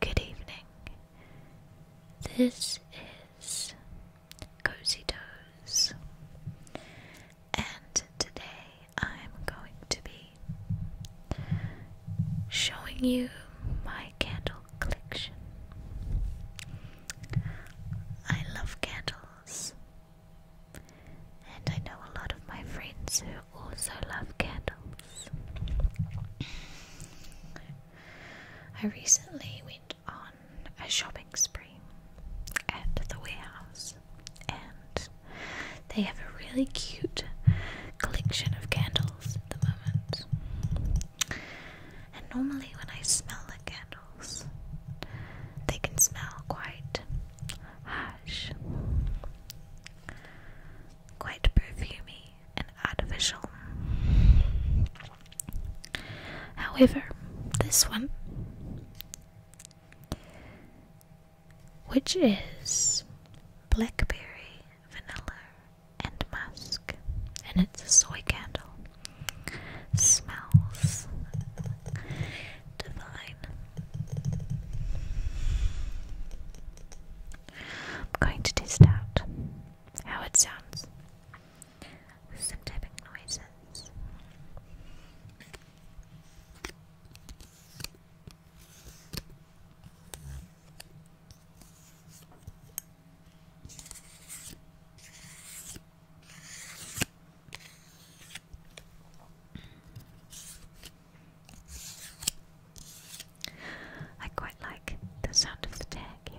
Good evening. This is Cozy Toes, and today I'm going to be showing you my candle collection. I love candles, and I know a lot of my friends who also love candles. I recently went on a shopping spree at the warehouse, and they have a really cute collection of candles at the moment. And normally, when I smell the candles, they can smell quite harsh quite perfumey and artificial. However, this one, which is blackberry, vanilla, and musk, and it's a soy candle, smells divine. I'm going to test out how it sounds with some tapping noises. I quite like the sound of the tag here.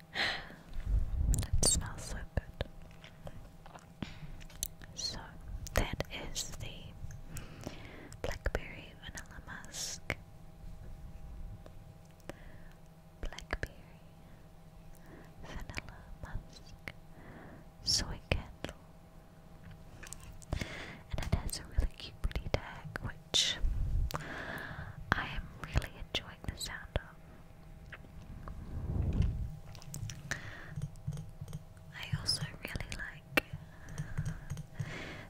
That smells so good. So that is the blackberry vanilla musk. Blackberry vanilla musk soy candle. And it has a really cute pretty tag which I am really enjoying the sound of. I also really like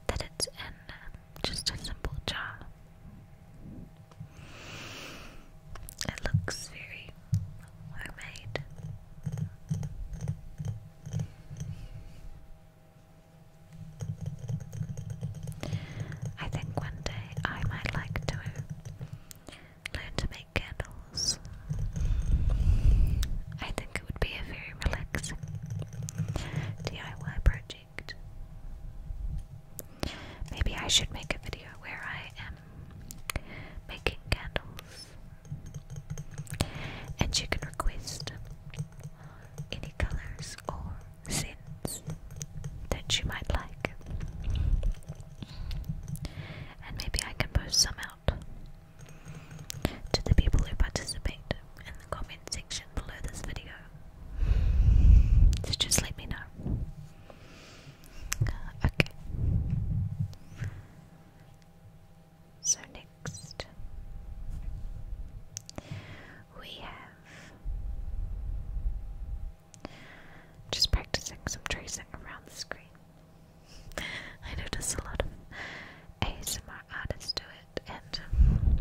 that it's in um, just a simple jar. It looks very homemade. I think one day I might like to Learn to make candles. I think it would be a very relaxing DIY project. Maybe I should make a video where I am making candles. And you can request any colors or sins that you might like. And maybe I can post some out to the people who participate in the comment section below this video. So just let me know. Uh, okay. So next we have just practicing some tracing around the screen. I notice a lot of ASMR artists do it, and um,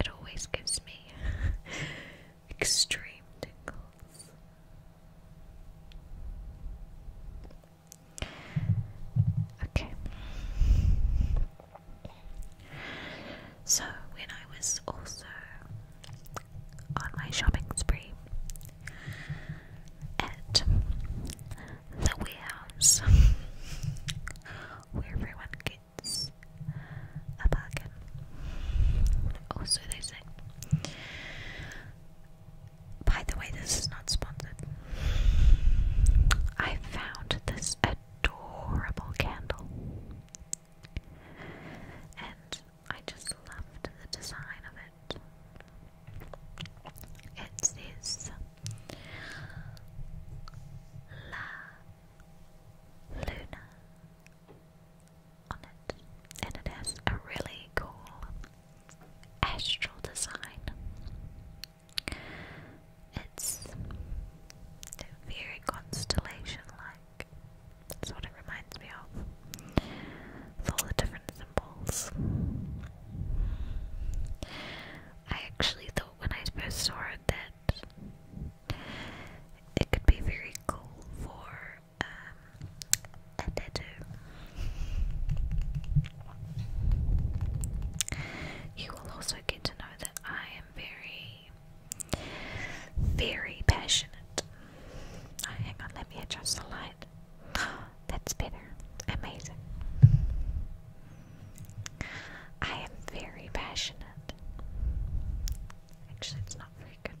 it always gives me extreme tingles. Okay. So, when I was also on my shopping spree at the warehouse where everyone gets a bargain. Also, oh, they say, by the way, this is not sponsored. I found this adorable candle and I just loved the design of it. It says La Luna on it, and it has a really cool astral design. It's very constellation like. That's what it reminds me of. all the different symbols. I actually thought when I first saw it that it could be very cool for um, a tattoo. You will also get to know that I am very very passionate. Oh, hang on, let me adjust the light. that's better. Amazing. I am very passionate. Actually, it's not very good.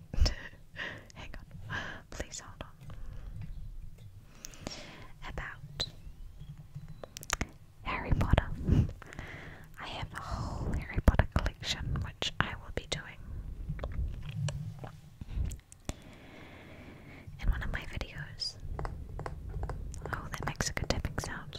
hang on. Please hold on. About Harry Potter. I have a whole Harry Potter collection which I will be doing in one of my videos. Oh, that makes a good tapping sound.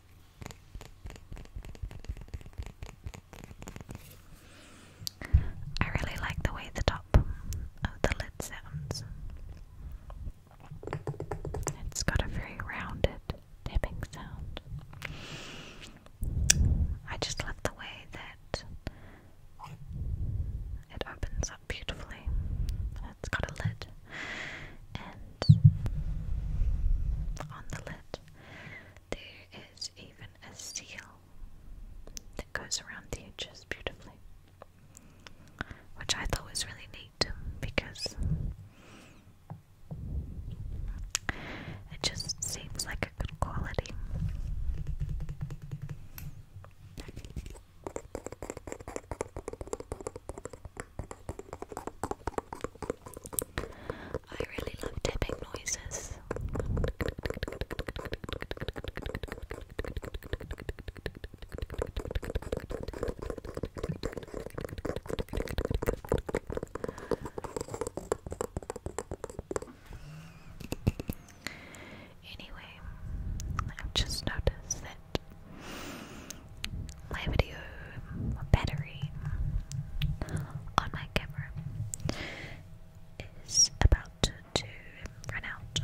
I really like the way the top of the lid sounds. It's got a very rounded dipping sound. I just love the way that it opens up beautifully. It's got a lid, and on the lid, there is even a seal that goes around the edges beautifully, which I thought was really neat because it just seems like a good quality. I really love tapping noises. Anyway, I've just noticed that my video battery on my camera is about to, run out.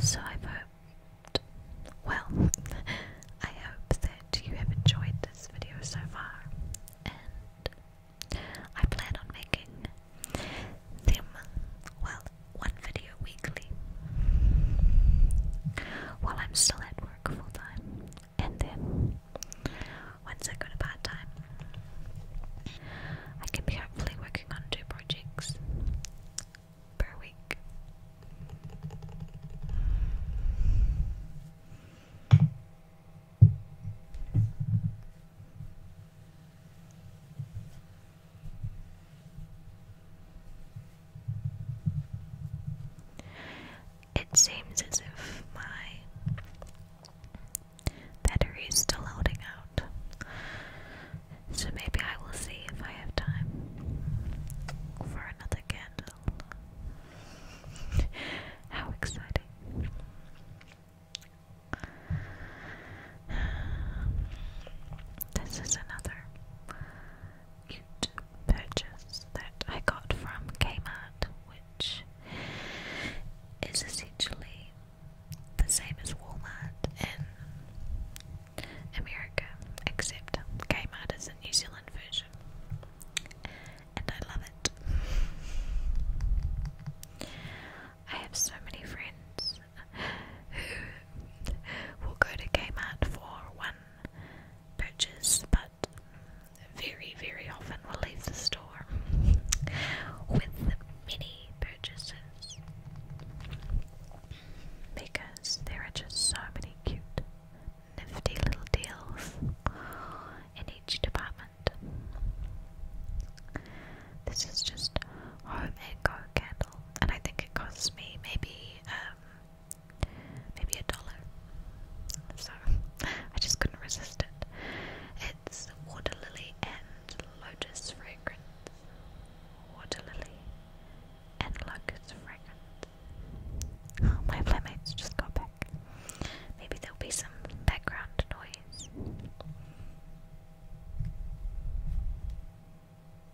So I've well, I hope that you have enjoyed this video so far, and I plan on making them, well, one video weekly while I'm still at work full time, and then once I go to part time, I can be hopefully working on two projects per week. It seems as if my battery is still holding out, so maybe I will see if I have time for another candle. How exciting! This is another cute purchase that I got from Kmart, which is essentially the same as Walmart in America, except Kmart is a New Zealand version, and I love it. I have so many friends who will go to Kmart for one purchase but very, very often will leave the store with many purchases because there are just so many cute, nifty little deals in each department. This is just home candle, and I think it costs me maybe um, maybe a dollar. So I just couldn't resist it. It's water lily and lotus fragrance. Water lily and locust fragrance. my playmates just got back. Maybe there'll be some background noise.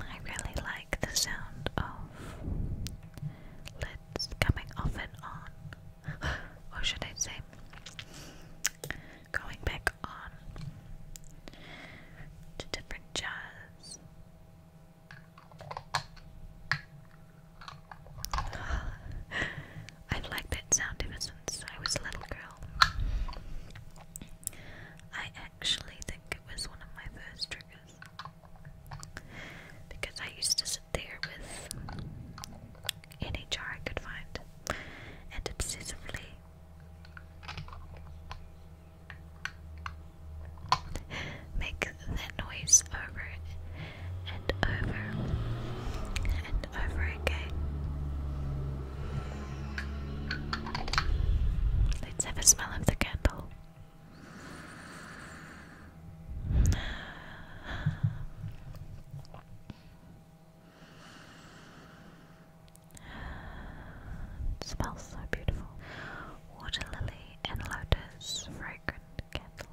I really like the sound of lids coming off and on, or should I say, going back on to different jars. I like that sound if I was a little girl. I actually think it was one of my first triggers because I used to sit there with any jar I could find and obsessively make that noise over and over over again. Let's have a smell of the candle. smells so beautiful. Water lily and lotus fragrant candle.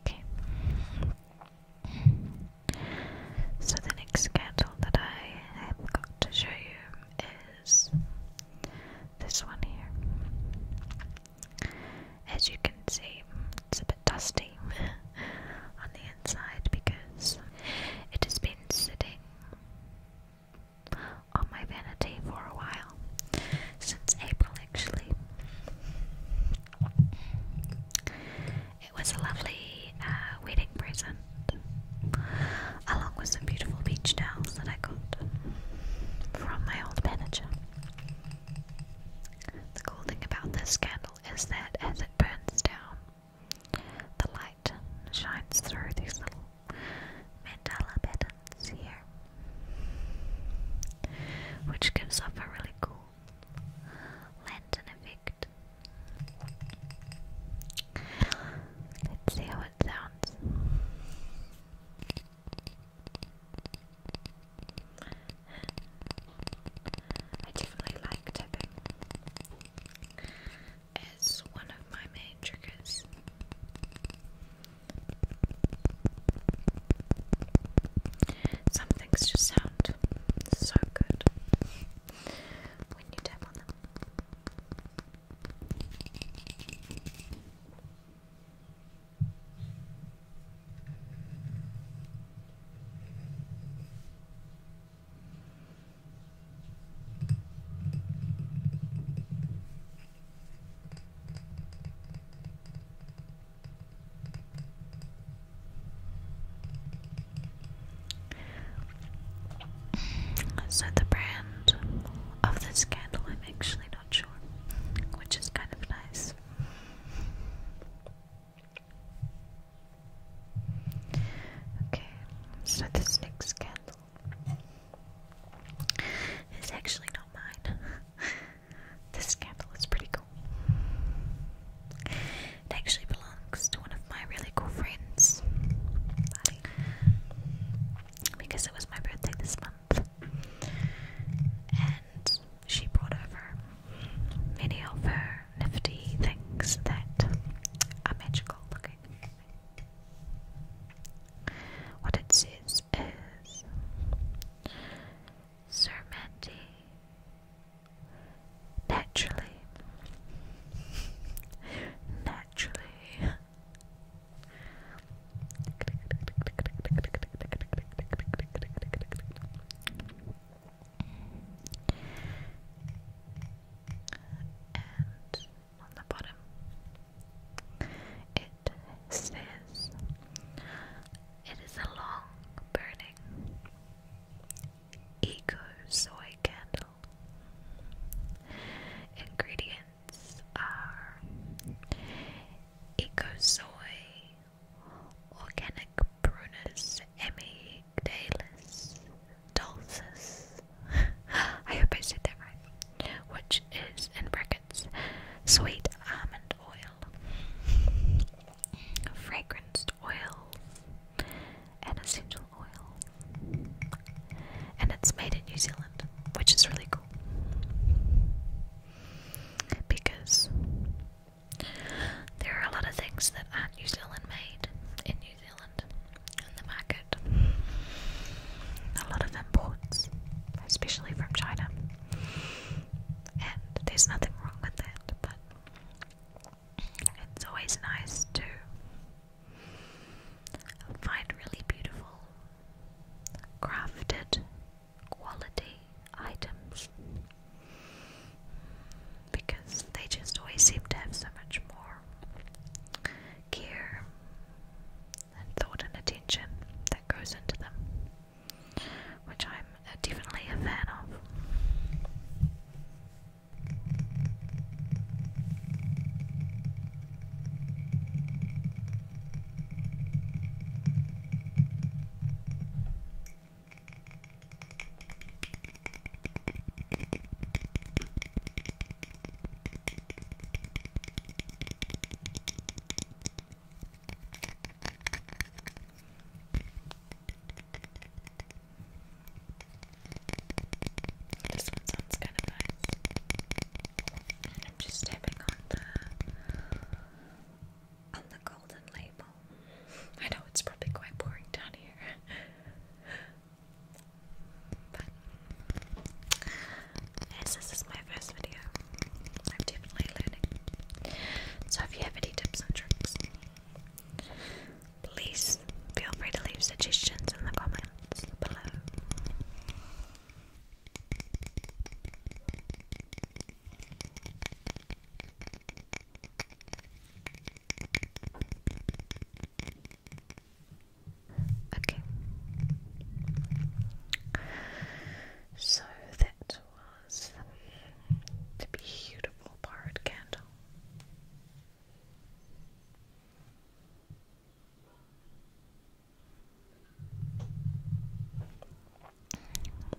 Okay. So the next candle that I have got to show you is this one here. As you can see, it's a bit dusty on the inside because it has been sitting on my vanity for a while since April actually. It was a lovely uh, wedding present, along with some beautiful beach towels that I got from my old manager. The cool thing about this candle is that as it burns down, the light shines through these little mandala patterns here, which gives off a really cool Lantern effect. Let's see how it sounds. I definitely like tapping. As one of my main triggers. Some things just sound so good when you tap on them. So, the brand of this candle, I'm actually not sure, which is kind of nice. Okay, so this next candle is actually not mine. this candle is pretty cool. It actually belongs to one of my really cool friends. Because it was my birthday this month. And she brought over many of her nifty things that are magical looking. What it says is Sermenti. Naturally. Naturally. And on the bottom, it says, It is a long burning Eco soy candle. Ingredients are eco soy, organic prunus, emidalis, dulcis. I hope I said that right. Which is in brackets sweet almond oil fragranced oil, and essential oil. And it's made in New Zealand, which is really cool. Because there are a lot of things that aren't New Zealand made in New Zealand in the market. A lot of imports, especially from China. And there's nothing wrong with that, but it's always nice to find really beautiful, crafted, quality items because they just always seem to have so much more care and thought and attention that goes into them which I'm definitely a fan of. This sounds kind of nice. I'm just tapping on the on the golden label. I know it's probably quite boring down here. But this is my first video, I'm so if you have any tips and tricks, please feel free to leave suggestions in the comments below. Okay. So that was the beautiful barred candle.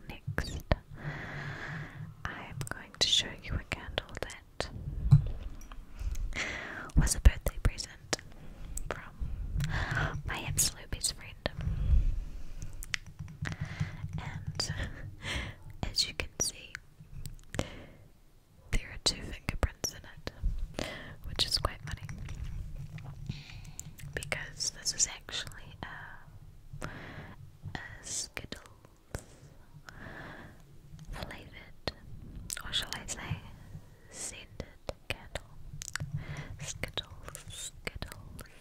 Next, I'm going to show you a candle that was a birthday present from my absolute best friend. And as you can see, there are two fingerprints in it, which is quite funny because this is actually a, Skittles flavored, or shall I say, scented candle. Skittles, Skittles,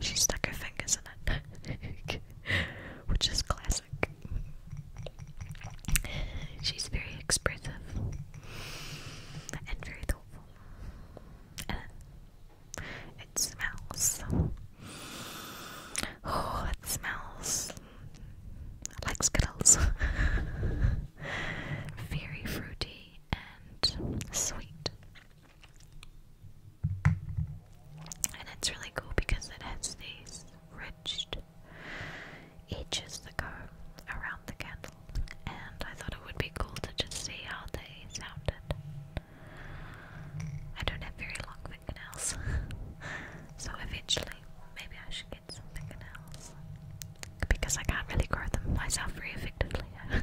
she stuck her fingers in it, which is classic. She's very expressive and very thoughtful. And it smells. Oh, it smells like Skittles. very fruity and sweet. And it's really cool because it has these ridged edges that go around the candle. And I thought it would be cool to just see how they sounded. I don't have very long fingernails. so eventually, maybe I should get some fingernails. Because I can't really grow them myself very effectively.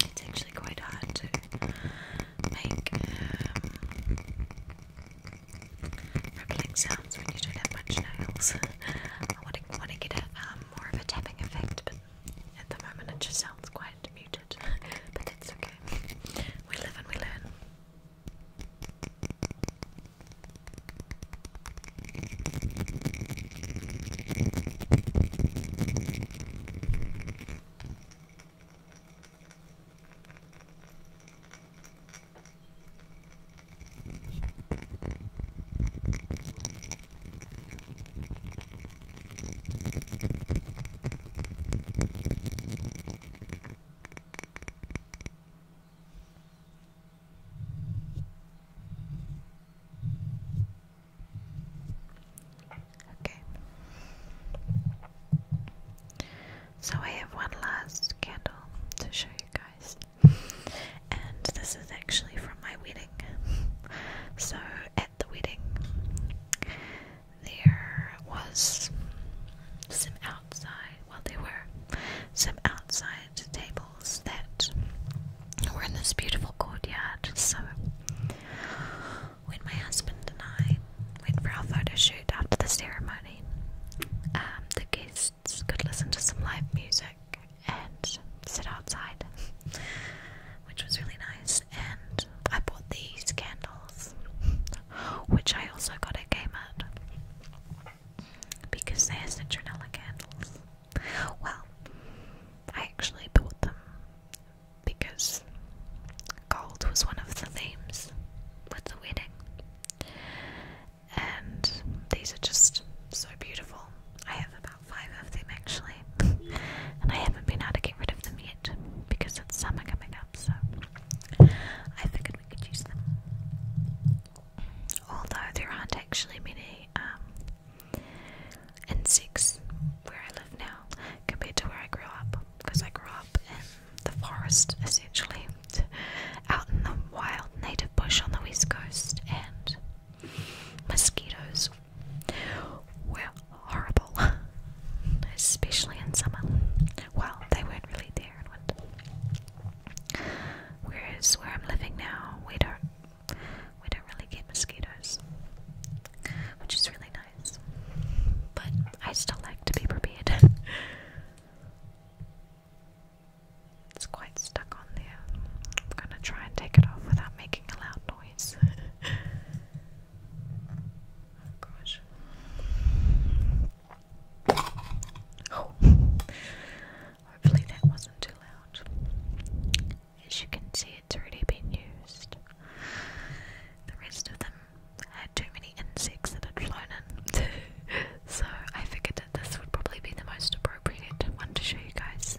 It's actually quite hard to make um, sounds when you don't have much nails. I want to, want to get a, um, more of a tapping effect, but at the moment it just sounds quite muted. but it's okay. We live and we learn. Okay. So I have one last candle to show you guys. And this is actually from my wedding. So at the wedding, there was some outside, well, there were some outside tables that were in this beautiful courtyard. So, when my husband and I went for our photo shoot after the ceremony, um, the guests could listen to some live music and sit outside which was really nice. And I bought these candles, which I also got at Kmart because they're citronella candles. Well, I actually bought them because gold was one of the themes with the wedding, and these are just so beautiful. I have about five of them actually and I haven't been able to get rid of them yet because it's summer coming up, so I figured we could use them. Although there aren't actually many um, insects where I live now compared to where I grew up, because I grew up in the forest essentially, out in the wild native bush on the west coast, and mosquitoes were horrible, especially in summer. Well, they weren't really there Whereas where I'm living now, we don't we don't really get mosquitoes, which is really nice. But I still like to be prepared. It's quite stuck on there. I'm gonna try and take it off without making a loud noise. Oh gosh. Oh. Hopefully that wasn't too loud. As you can see, it's already been used. The rest of them had too many insects that had flown in, so I figured that this would probably be the most appropriate one to show you guys.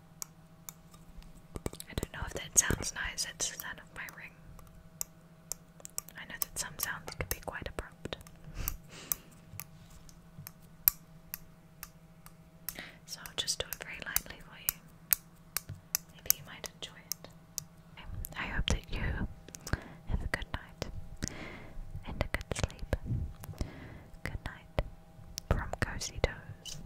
I don't know if that sounds nice, it's the sound of my ring. I know that some sounds can be quite abrupt. so I'll just do it very lightly for you. Maybe you might enjoy it. I hope that you have a good night and a good sleep. Good night from Cozy Toes.